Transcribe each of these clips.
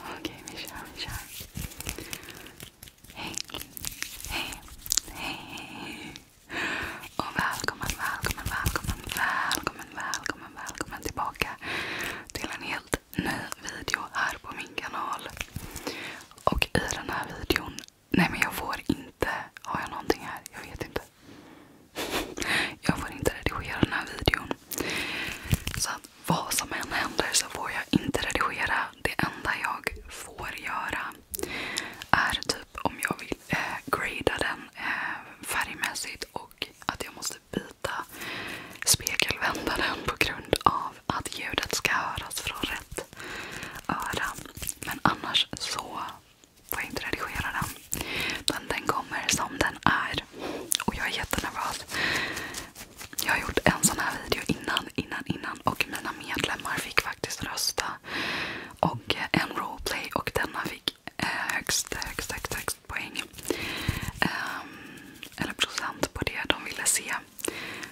Okej, okay, vi kör, vi kör. Hej, hej, hej. Och välkommen, välkommen, välkommen, välkommen, välkommen, välkommen tillbaka till en helt ny video här på min kanal. Och i den här videon, nej men jag får inte, har jag någonting här? Jag vet inte. Jag får inte redigera den här videon. Så att vad som än händer så får jag inte redigera. Det enda jag får göra är typ om jag vill eh, grada den eh, färgmässigt och att jag måste byta spegelvändaren på grund av att ljudet ska höras från rätt öra. Men annars så får jag inte redigera den. Men den kommer som den är. Och jag är jättenervös. Jag har gjort en sån här video innan, innan, innan. Och mina medlemmar fick faktiskt rösta. Och en roleplay och denna fick eh, högst, högst, högst, högst poäng. Um, eller procent på det de ville se.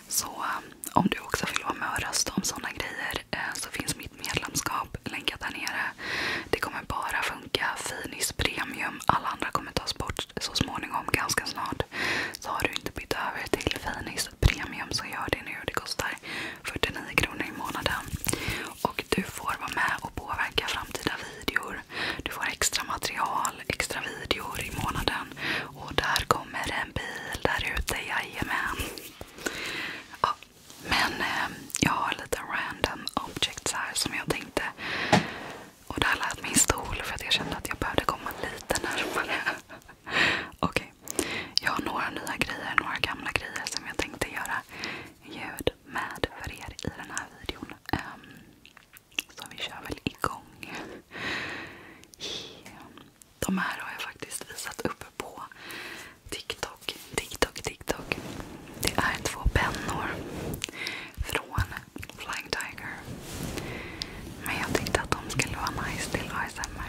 Så um, om du också vill vara med och rösta om såna grejer eh, så finns mitt medlemskap snabb. Länkat här nere. Det kommer bara funka Finis Premium. Alla andra kommer tas bort så småningom, ganska snart. Så har du inte bytt över till Finis Premium så gör det nu. Det kostar 49 kronor i månaden. Och du får vara med och påverka framtida videor. Du får extra material, extra videor i månaden. Och där kommer en bil där ute, jajamän. Ja, men eh, jag har lite random objects här som jag tänkte. Och det här lät min stol för att jag kände att jag behövde komma lite närmare. Okej. Okay. Jag har några nya grejer, några gamla grejer som jag tänkte göra ljud med för er i den här videon. Um, så vi kör väl igång. Yeah de här har jag faktiskt visat upp på TikTok. TikTok, TikTok. Det är två pennor från Flying Tiger. Men jag tyckte att de skulle vara nice till ASMR.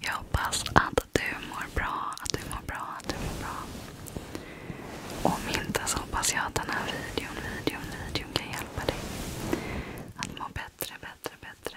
Jag hoppas att du mår bra, att du mår bra, att du mår bra. Om inte så hoppas jag att den här videon, videon, videon kan hjälpa dig att må bättre, bättre, bättre.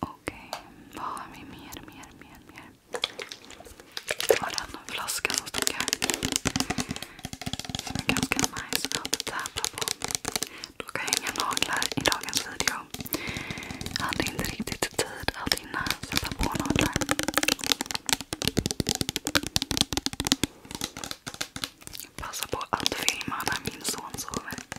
Okej, vad har vi mer, mer, mer, Har den flaskan som stod här. Som är ganska nice att täppa på. Då kan jag hänga naglar i dagens video. Jag hade inte riktigt tid att hinna sätta på naglar. Passa på att filma när min son sover.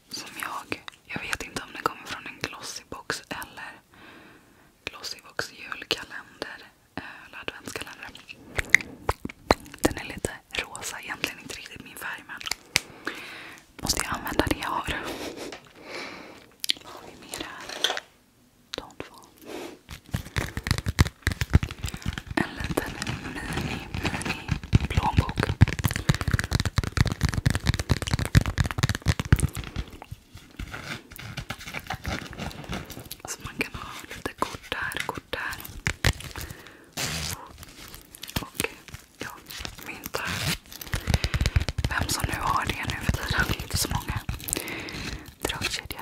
Som jag. Jag vet inte om det kommer från en glossybox eller glossybox julkalender. Eh, eller adventskalender. Den är lite rosa. Egentligen inte riktigt min färg men måste jag använda det jag har. Vad har vi mer här? De två. En liten mini, mini plånbok. Så alltså, man kan ha lite kort där, kort där. Och ja, mynt här. Vem som nu har det nu för tiden. Det är inte så många. Dragkedja.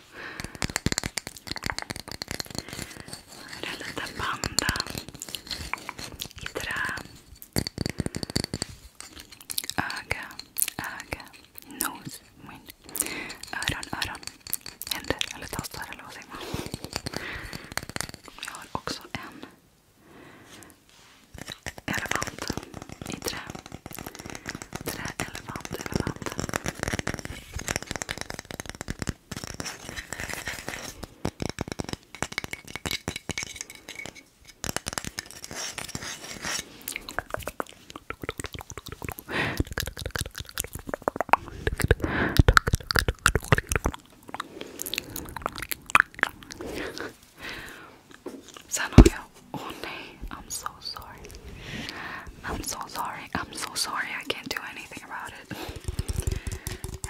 Här är en liten panda i trä. Öga, öga, nos, mun. Öron, öron. Händer eller tassar eller vad säger man? Jag har också en elefant i trä. Träelefant, elefant. Sanoya. Oh nee, I'm so sorry. I'm so sorry. I'm so sorry. I can't do anything about it.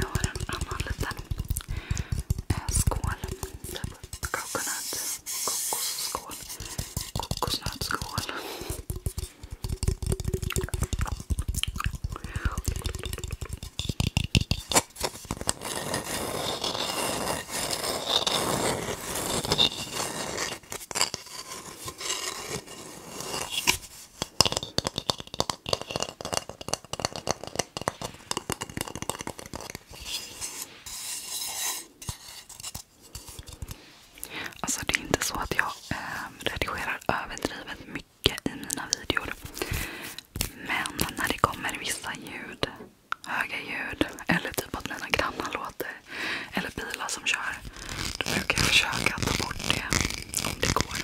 I want another little skål. Coconut. Kokosskål. Kokosnötsskål. Alltså det är inte så att jag ehm, redigerar överdrivet mycket i mina videor. Men när det kommer vissa ljud höga ljud eller typ att mina grannar låter. Eller bilar som kör. Då brukar jag försöka ta bort det om det går.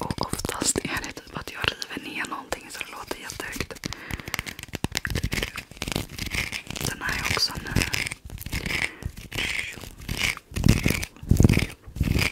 Och oftast är det typ att jag river ner någonting så det låter jättehögt. Den här är också ny.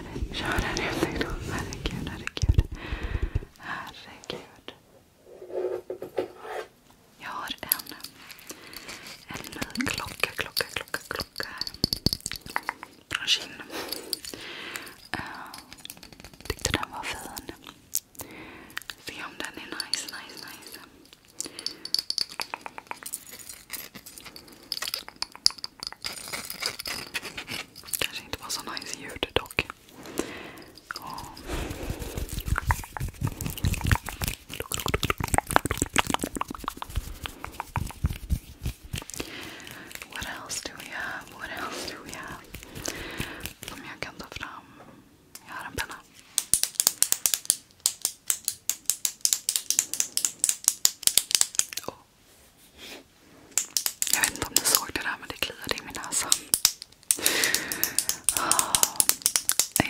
här. Kör här ute idag. Herregud, herregud. Herregud. Jag har en, en ny klocka, klocka, klocka, klocka här. Från Kinn. Uh, tyckte den var fin. Se om den är nice, nice, nice. Kanske was a nice ljud dock. Oh. What else do we have? What else do we have? Som jag kan ta fram. Jag har Jag vet inte om ni såg det där men det kliade i min näsa. Ah,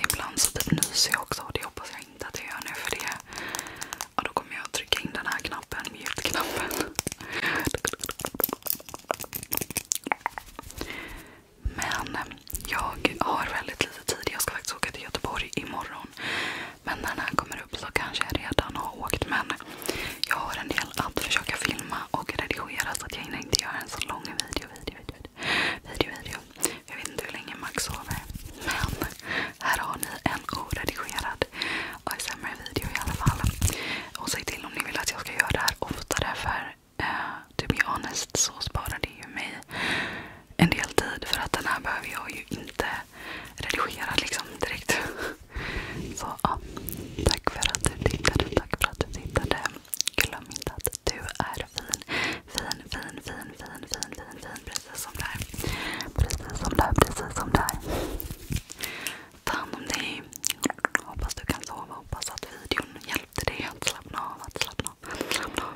ibland så typ nyser jag också och det hoppas jag inte att jag gör nu för det. då kommer jag trycka in den här knappen, mute-knappen. Men jag har väldigt lite tid. Jag ska faktiskt åka till Göteborg imorgon. Men när den här kommer upp så kanske jag redan har åkt. Men jag har en del att försöka filma och redigera så att jag hinner inte göra en så lång video. video, video, video, video. Jag vet inte hur länge Max sover. Men här har ni en oredigerad ASMR-video i alla fall. Och säg till om ni vill att jag ska göra det här oftare. För uh, to be honest så sparar det ju mig en del tid. För att den här behöver jag ju inte redigera liksom direkt. Så ja, tack för att du tittade. Tack för att du tittade. Glöm inte att du är fin. Fin, fin, fin, fin, fin, fin, fin. Precis som där. Precis som där, precis som där. Ta hand om dig. Hoppas du kan sova. Hoppas att videon hjälpte dig att slappna av. Att slappna av. Att slappna av.